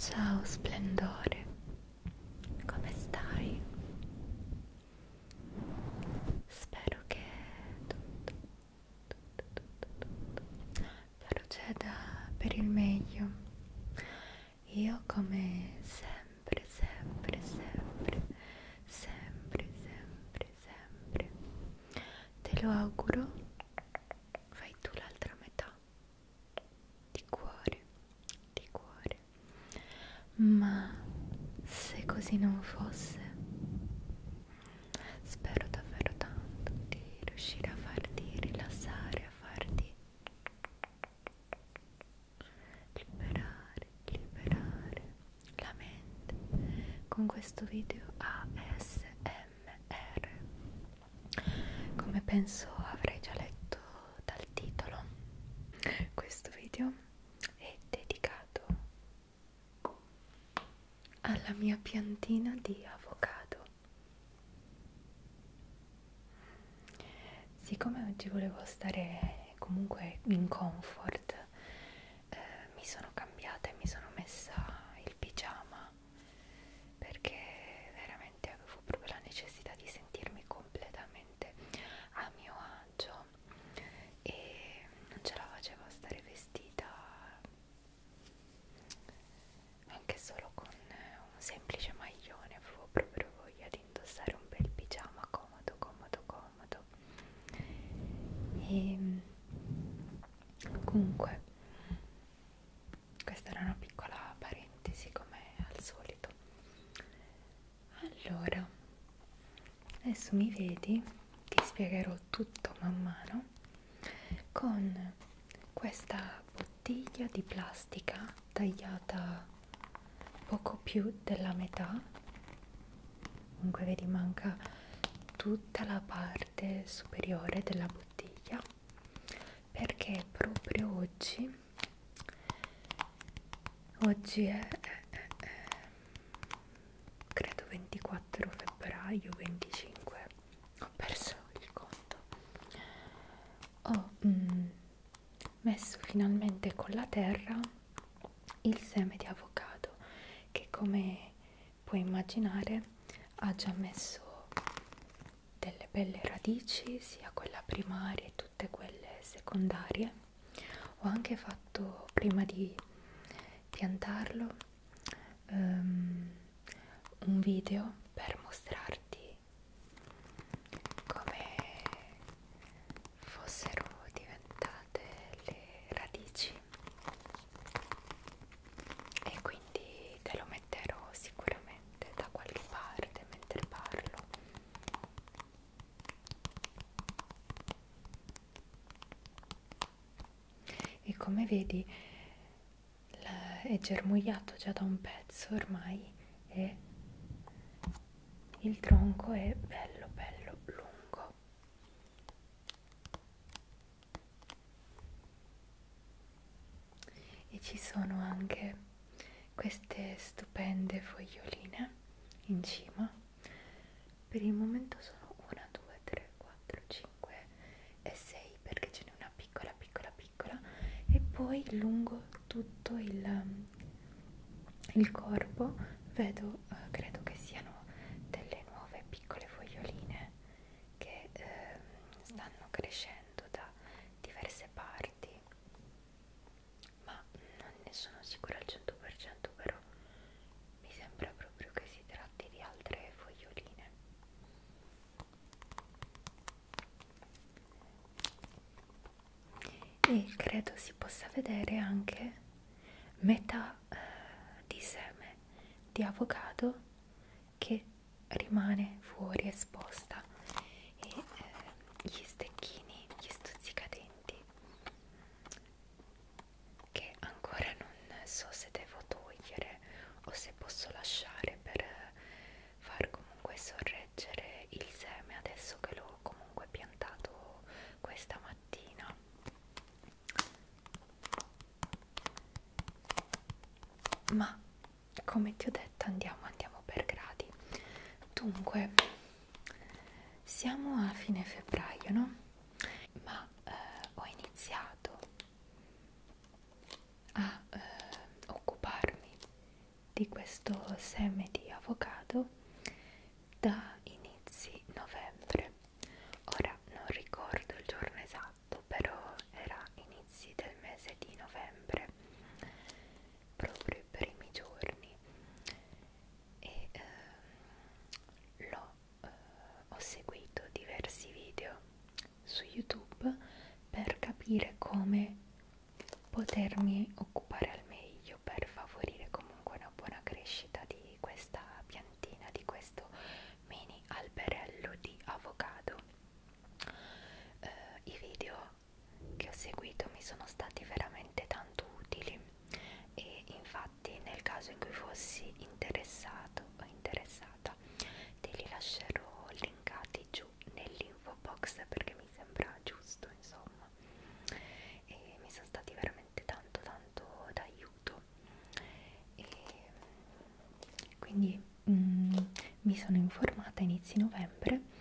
Ciao splendore, come stai? spero che tutto, tutto, tutto, tutto proceda per il meglio io come sempre sempre sempre sempre sempre sempre te lo auguro fai tu l'altra metà di cuore di cuore. Ma se così non fosse, spero davvero tanto di riuscire a farti rilassare, a farti liberare, liberare la mente con questo video ASMR. Come penso avrai già letto dal titolo, questo video è dedicato alla mia piantina di avocado. Siccome oggi volevo stare comunque in comfort, eh, mi sono cambiata e mi sono messa il pigiama perché veramente avevo proprio la necessità di sentirmi completamente a mio agio e non ce la facevo a stare vestita anche solo con un semplice maglione avevo proprio voglia di indossare un bel pigiama comodo comodo comodo e ehm, comunque questa era una piccola parentesi come al solito allora adesso mi vedi ti spiegherò tutto man mano con questa bottiglia di plastica tagliata poco più della metà comunque vedi manca tutta la parte superiore della bottiglia perché proprio oggi oggi oggi è, è, è, è credo 24 febbraio 25 ho perso il conto ho mm, messo finalmente con la terra il seme di avocado che come puoi immaginare ha già messo delle belle radici sia quella primaria e tutte quelle secondarie ho anche fatto prima di piantarlo um, un video per mostrarti come fossero diventate le radici e quindi te lo metterò sicuramente da qualche parte mentre parlo e come vedi è germogliato già da un pezzo ormai e il tronco è bello bello lungo. E ci sono anche queste stupende foglioline in cima per il momento sono 1 2 3 4 5 e 6 perché ce n'è una piccola piccola piccola e poi lungo tutto il, il corpo vedo eh, credo che siano delle nuove piccole foglioline che eh, stanno crescendo da diverse parti ma non ne sono sicura al 100% però mi sembra proprio che si tratti di altre foglioline e credo si possa vedere anche metà eh, di seme di avocado che rimane fuori esposta e eh, gli stecchini, gli stuzzicadenti che ancora non so se devo togliere o se posso lasciare per eh, far comunque sorreggere il seme adesso che l'ho comunque piantato questa mattina ma come ti ho detto andiamo andiamo per gradi dunque siamo a fine febbraio, no? Ma eh, ho iniziato a eh, occuparmi di questo seme di avocado da inizi novembre. Ora non ricordo il giorno esatto, però era inizi del mese di novembre proprio i primi giorni e ehm, l'ho eh, ho seguito diversi video su YouTube per capire come potermi occupare al meglio per favorire comunque una buona crescita di questa piantina, di questo mini alberello di avocado. Eh, I video che ho seguito mi sono stati veramente tanto utili e infatti nel caso in cui fossi interessato o interessata te li lascerò linkati giù nell'info box perché mi sembra giusto insomma e mi sono stati veramente tanto tanto d'aiuto e quindi mm, mi sono informata a inizi novembre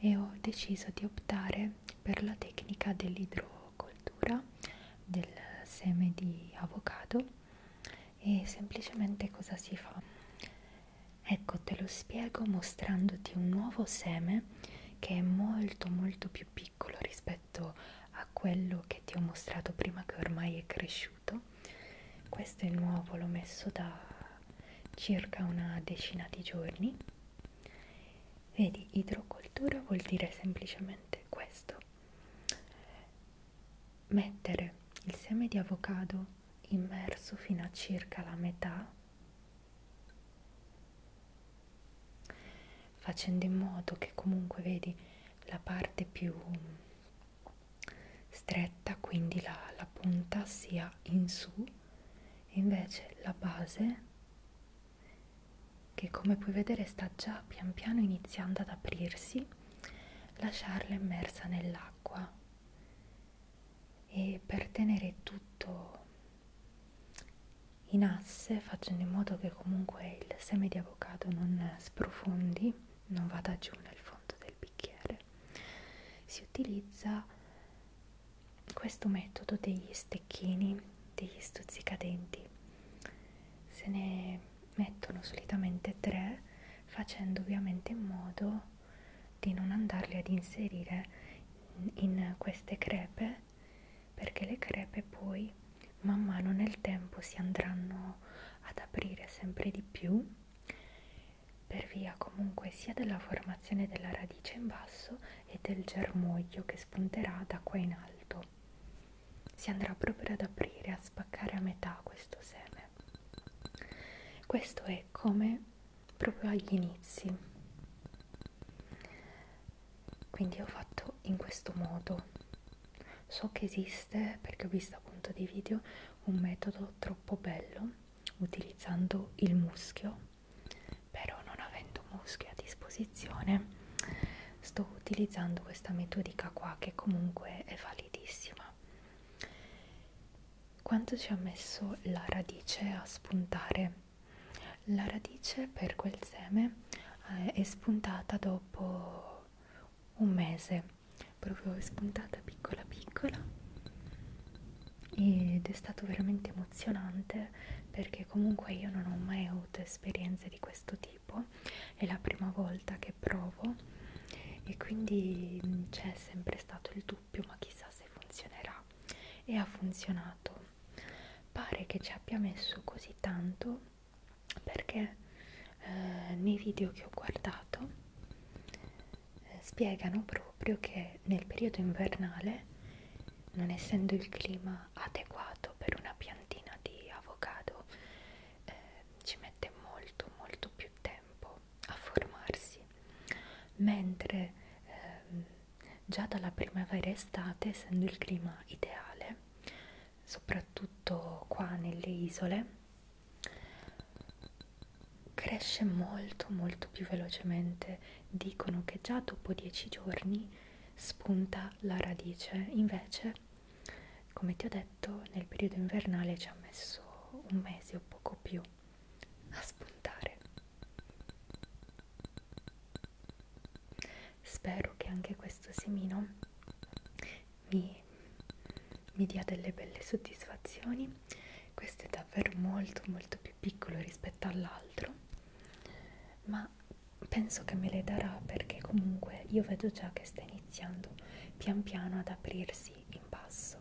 e ho deciso di optare per la tecnica dell'idrocoltura del seme di avocado e semplicemente cosa si fa? Ecco te lo spiego mostrandoti un nuovo seme che è molto molto più piccolo rispetto a quello che ti ho mostrato prima che ormai è cresciuto questo è nuovo, l'ho messo da circa una decina di giorni. Vedi, idrocoltura vuol dire semplicemente questo. Mettere il seme di avocado immerso fino a circa la metà, facendo in modo che comunque vedi la parte più stretta, quindi la, la punta sia in su e invece la base che come puoi vedere sta già pian piano iniziando ad aprirsi lasciarla immersa nell'acqua e per tenere tutto in asse facendo in modo che comunque il seme di avocado non sprofondi non vada giù nel fondo del bicchiere si utilizza questo metodo degli stecchini, degli stuzzicadenti, se ne mettono solitamente tre facendo ovviamente in modo di non andarli ad inserire in queste crepe perché le crepe poi man mano nel tempo si andranno ad aprire sempre di più per via comunque sia della formazione della radice in basso e del germoglio che spunterà da qua in alto. Si andrà proprio ad aprire, a spaccare a metà questo seme. Questo è come proprio agli inizi. Quindi ho fatto in questo modo. So che esiste, perché ho visto appunto dei video, un metodo troppo bello utilizzando il muschio però non avendo muschio a disposizione sto utilizzando questa metodica qua che comunque è validissima quanto ci ha messo la radice a spuntare la radice per quel seme eh, è spuntata dopo un mese proprio è spuntata piccola piccola ed è stato veramente emozionante perché comunque io non ho mai avuto esperienze di questo tipo, è la prima volta che provo e quindi mm, c'è sempre stato il dubbio ma chissà se funzionerà e ha funzionato. Pare che ci abbia messo così tanto perché eh, nei video che ho guardato eh, spiegano proprio che nel periodo invernale, non essendo il clima adeguato per una piantina di avocado, eh, ci mette molto molto più tempo a formarsi, mentre ehm, già dalla primavera estate, essendo il clima ideale, soprattutto qua nelle isole, cresce molto molto più velocemente dicono che già dopo 10 giorni spunta la radice invece come ti ho detto nel periodo invernale ci ha messo un mese o poco più a spuntare spero che anche questo semino mi, mi dia delle belle soddisfazioni questo è davvero molto molto più piccolo rispetto all'altro ma penso che me le darà perché comunque io vedo già che sta iniziando pian piano ad aprirsi in basso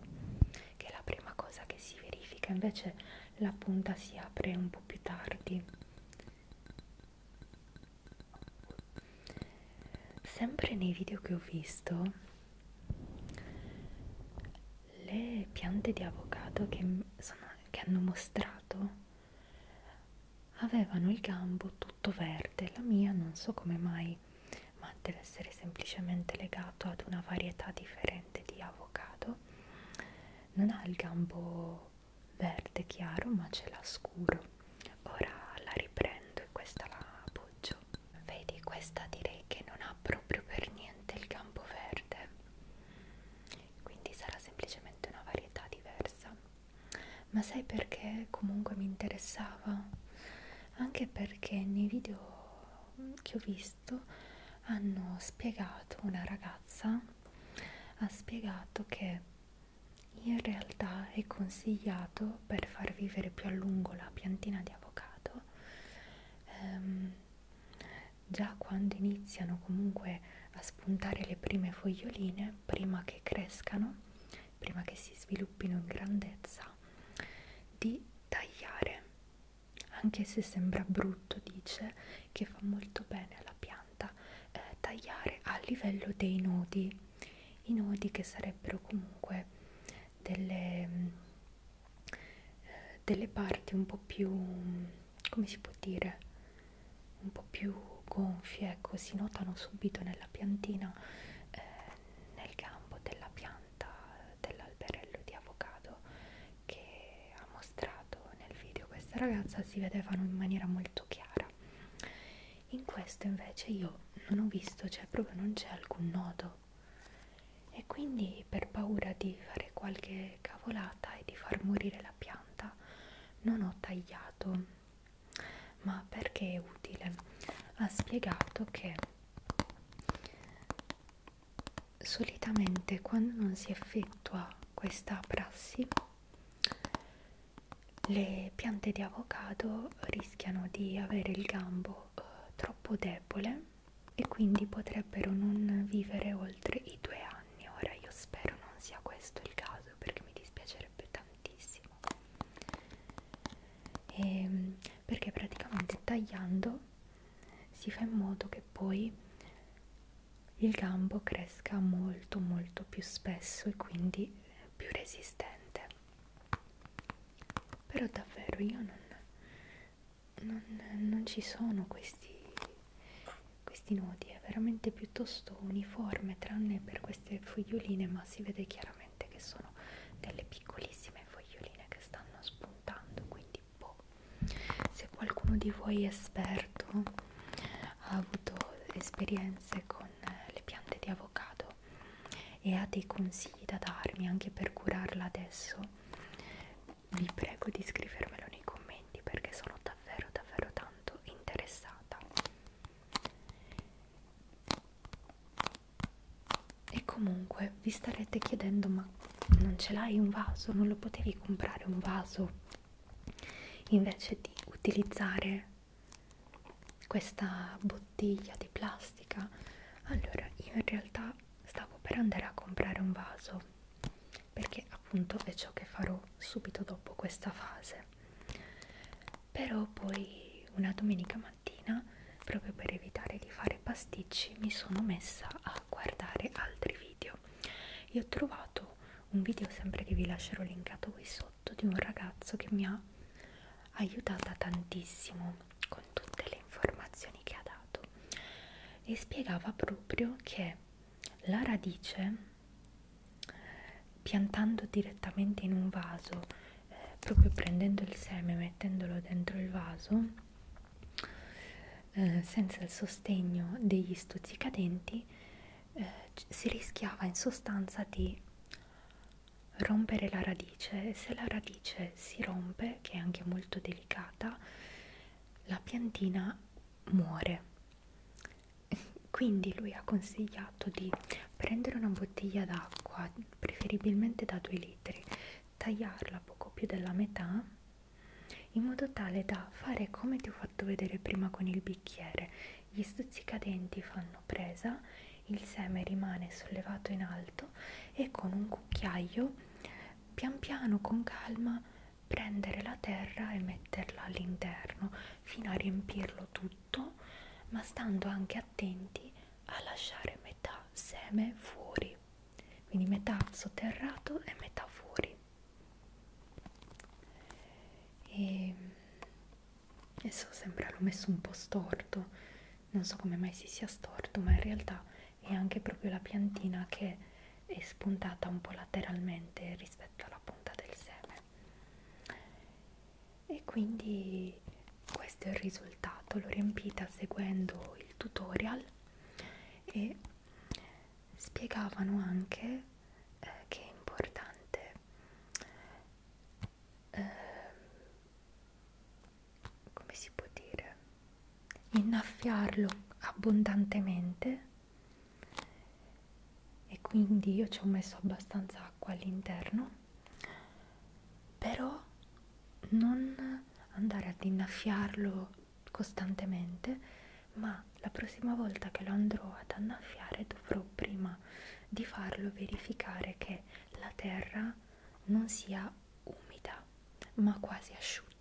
che è la prima cosa che si verifica invece la punta si apre un po' più tardi sempre nei video che ho visto le piante di avocado che, sono, che hanno mostrato avevano il gambo tutto verde la mia non so come mai ma deve essere semplicemente legato ad una varietà differente di avocado non ha il gambo verde chiaro ma ce l'ha scuro ora la riprendo e questa la appoggio rosso vedi questa direi che non ha proprio per niente il campo verde quindi sarà semplicemente una varietà diversa ma sai perché comunque mi interessava anche perché nei video che ho visto hanno spiegato una ragazza ha spiegato che in realtà è consigliato per far vivere più a lungo la piantina di avocado ehm, già quando iniziano comunque a spuntare le prime foglioline, prima che crescano, prima che si sviluppino in grandezza, di tagliare. Anche se sembra brutto, dice che fa molto bene alla pianta eh, tagliare a livello dei nodi, i nodi che sarebbero comunque delle eh, delle parti un po' più come si può dire un po' più gonfie ecco si notano subito nella piantina eh, nel gambo della pianta dell'alberello di avocado che ha mostrato nel video questa ragazza si vedevano in maniera molto chiara in questo invece io non ho visto cioè proprio non c'è alcun nodo e quindi per paura di fare qualche cavolata e di far morire la pianta non ho tagliato ma perché è utile ha spiegato che solitamente quando non si effettua questa prassi le piante di avocado rischiano di avere il gambo eh, troppo debole e quindi potrebbero non vivere oltre i due anni. Ora io spero non sia questo il caso perché mi dispiacerebbe tantissimo. E, ehm, perché praticamente tagliando si fa in modo che poi il gambo cresca molto molto più spesso e quindi più resistente però davvero io non, non, non ci sono questi, questi nodi, è veramente piuttosto uniforme tranne per queste foglioline, ma si vede chiaramente che sono delle piccolissime foglioline che stanno spuntando, quindi boh. Se qualcuno di voi è esperto ha avuto esperienze con le piante di avocado, e ha dei consigli da darmi anche per curarla adesso, vi prego di scrivermelo nei commenti perché sono davvero davvero tanto interessata. E comunque vi starete chiedendo ma non ce l'hai un vaso? Non lo potevi comprare un vaso? Invece di utilizzare questa bottiglia bottiglia di plastica allora io in realtà stavo per andare a comprare un vaso perché appunto è ciò che farò subito dopo questa fase però poi una domenica mattina proprio per evitare di fare pasticci mi sono messa a guardare altri video e ho trovato un video sempre che vi lascerò linkato qui sotto di un ragazzo che mi ha aiutata tantissimo con tutte le informazioni che ha dato e spiegava proprio che la radice piantando direttamente in un vaso eh, proprio prendendo il seme e mettendolo dentro il vaso eh, senza il sostegno degli stuzzicadenti eh, si rischiava in sostanza di rompere la radice e se la radice si rompe, che è anche molto delicata, la piantina muore. Quindi lui ha consigliato di prendere una bottiglia d'acqua, preferibilmente da 2 litri, tagliarla poco più della metà in modo tale da fare come ti ho fatto vedere prima con il bicchiere. Gli stuzzicadenti fanno l'hanno presa, il seme rimane sollevato in alto e con un cucchiaio pian piano con calma prendere la terra e metterla all'interno fino a riempirlo tutto, ma stando anche attenti a lasciare metà seme fuori, quindi metà sotterrato e metà fuori. E adesso sembra l'ho messo un po' storto non so come mai si sia storto, ma in realtà è anche proprio la piantina che è spuntata un po' lateralmente rispetto alla punta del seme. E quindi questo è il risultato, l'ho riempita seguendo il tutorial e spiegavano anche eh, che è importante eh, come si può dire, innaffiarlo abbondantemente e quindi io ci ho messo abbastanza acqua all'interno, però non andare ad innaffiarlo costantemente, ma la prossima volta che lo andrò ad annaffiare dovrò prima di farlo verificare che la terra non sia umida ma quasi asciutta.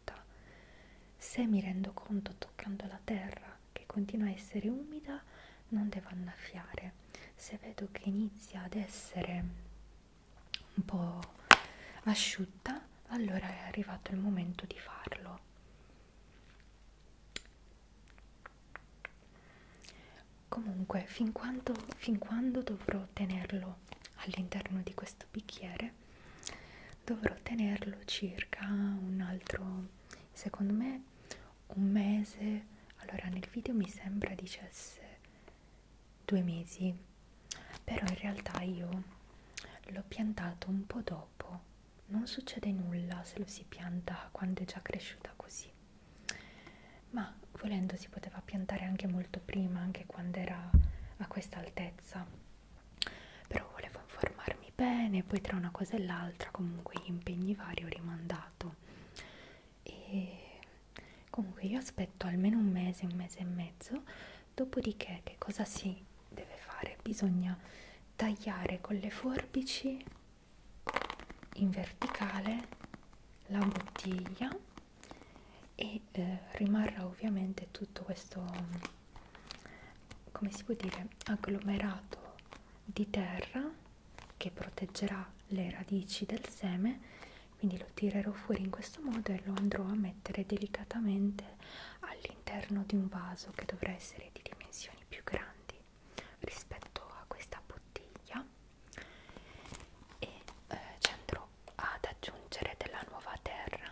Se mi rendo conto toccando la terra che continua a essere umida, non devo annaffiare. Se vedo che inizia ad essere un po' asciutta, allora è arrivato il momento di farlo comunque fin quando, fin quando dovrò tenerlo all'interno di questo bicchiere dovrò tenerlo circa un altro secondo me un mese allora nel video mi sembra dicesse due mesi però in realtà io l'ho piantato un po' dopo non succede nulla se lo si pianta quando è già cresciuta così ma volendo si poteva piantare anche molto prima, anche quando era a questa altezza. Però volevo informarmi bene, poi tra una cosa e l'altra, comunque gli impegni vari ho rimandato. E comunque io aspetto almeno un mese, un mese e mezzo, dopodiché che cosa si deve fare? Bisogna tagliare con le forbici in verticale la bottiglia e eh, rimarrà ovviamente tutto questo come si può dire agglomerato di terra che proteggerà le radici del seme quindi lo tirerò fuori in questo modo e lo andrò a mettere delicatamente all'interno di un vaso che dovrà essere di dimensioni più grandi rispetto a questa bottiglia e eh, ci andrò ad aggiungere della nuova terra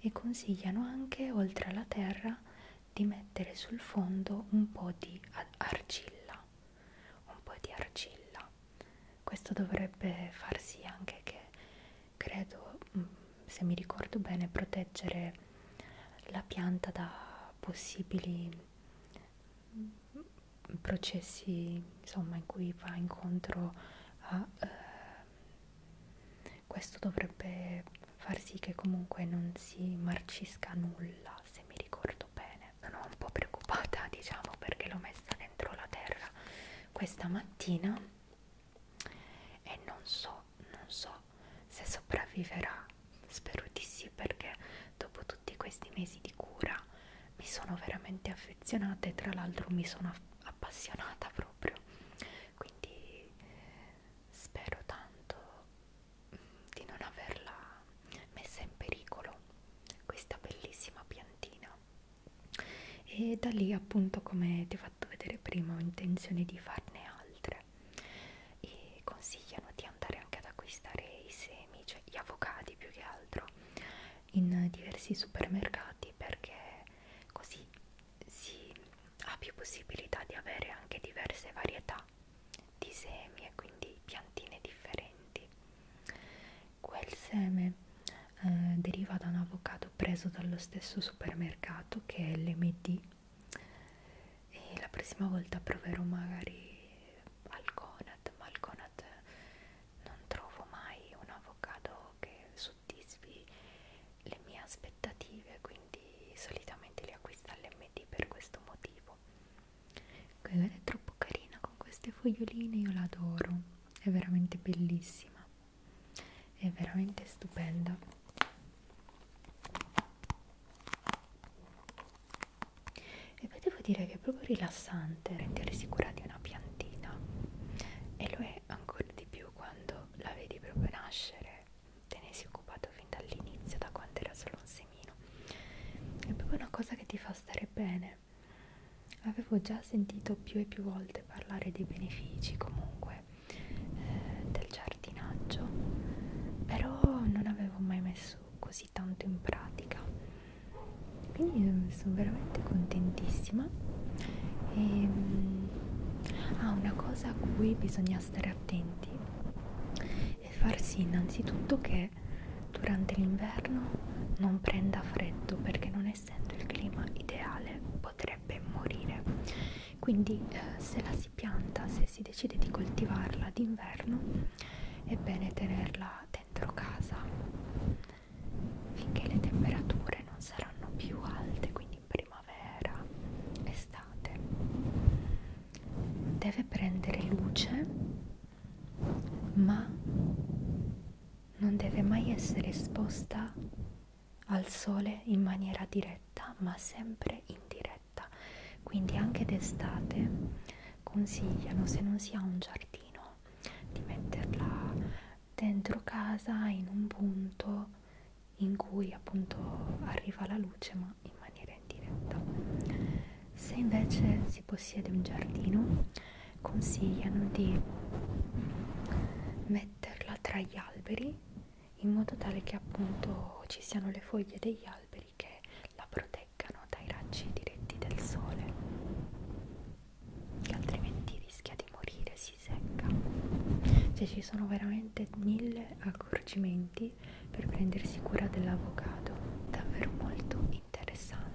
e consigliano anche oltre alla terra di mettere sul fondo un po' di argilla un po' di argilla questo dovrebbe far sì anche che credo mm, se mi ricordo bene proteggere la pianta da possibili mm, processi insomma in cui va incontro a eh, questo dovrebbe far sì che comunque non si marcisca nulla se mi ricordo bene sono un po' preoccupata diciamo perché l'ho messa dentro la terra questa mattina e non so non so se sopravviverà spero di sì perché dopo tutti questi mesi di cura mi sono veramente affezionata e tra l'altro mi sono appassionata proprio quindi spero tanto mm, di non averla messa in pericolo questa bellissima piantina e da lì appunto come ti ho fatto vedere prima ho intenzione di farne altre e consigliano di andare anche ad acquistare i semi semi, cioè gli avocati più che altro, in diversi supermercati perché così si ha più possibilità di avere anche diverse varietà di semi e quindi piantine differenti. Quel seme eh, deriva da un avocado preso dallo stesso supermercato che è l'MD e la prossima volta proverò magari al Conad, ma al Conad non trovo mai un avocado che soddisfi le mie aspettative, quindi solitamente li acquisto all'MD per questo motivo. Quella è troppo carina con queste foglioline, io la adoro, è veramente bellissima, è veramente stupenda e poi devo dire che è proprio rilassante rendere sicura di una piantina e lo è ancora di più quando la vedi proprio nascere te ne sei occupato fin dall'inizio da quando era solo un semino è proprio una cosa che ti fa stare bene avevo già sentito più e più volte parlare dei benefici comunque eh, del giardinaggio però non avevo mai messo messo così tanto in pratica quindi eh, sono veramente contentissima e, ehm, ah, una cosa a cui bisogna stare attenti è far sì innanzitutto che durante l'inverno non prenda freddo perché non essendo il clima ideale potrebbe morire quindi eh, se la si pianta se si si decide di coltivarla d'inverno è bene tenerla dentro casa finché le temperature non saranno più alte quindi primavera estate deve prendere luce ma non deve mai essere esposta al sole in maniera diretta ma sempre indiretta perfetta quindi anche d'estate consigliano se non si ha un giardino di metterla dentro casa in un punto in cui appunto arriva la luce ma in maniera indiretta se invece si possiede un giardino consigliano di metterla tra gli alberi in modo tale che appunto ci siano le foglie degli alberi alberi che la proteggano dai raggi diretti del sole, che altrimenti rischia di morire, si secca. Cioè ci sono veramente mille accorgimenti per prendersi cura dell'avocado, davvero molto interessante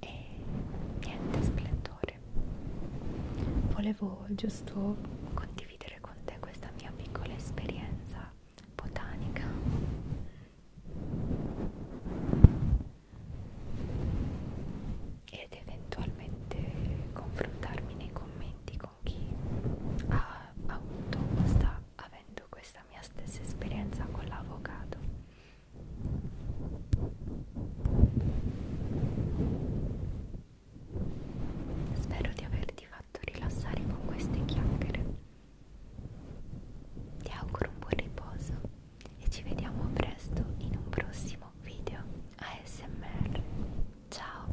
e niente splendore volevo giusto condividere con te questa mia piccola esperienza botanica ed eventualmente confrontarmi nei commenti con chi ha avuto questa avendo questa mia stessa esperienza con l'avocado spero di averti fatto rilassare con queste chiacchiere ti auguro un buon riposo e ci vediamo presto in un prossimo video ASMR ciao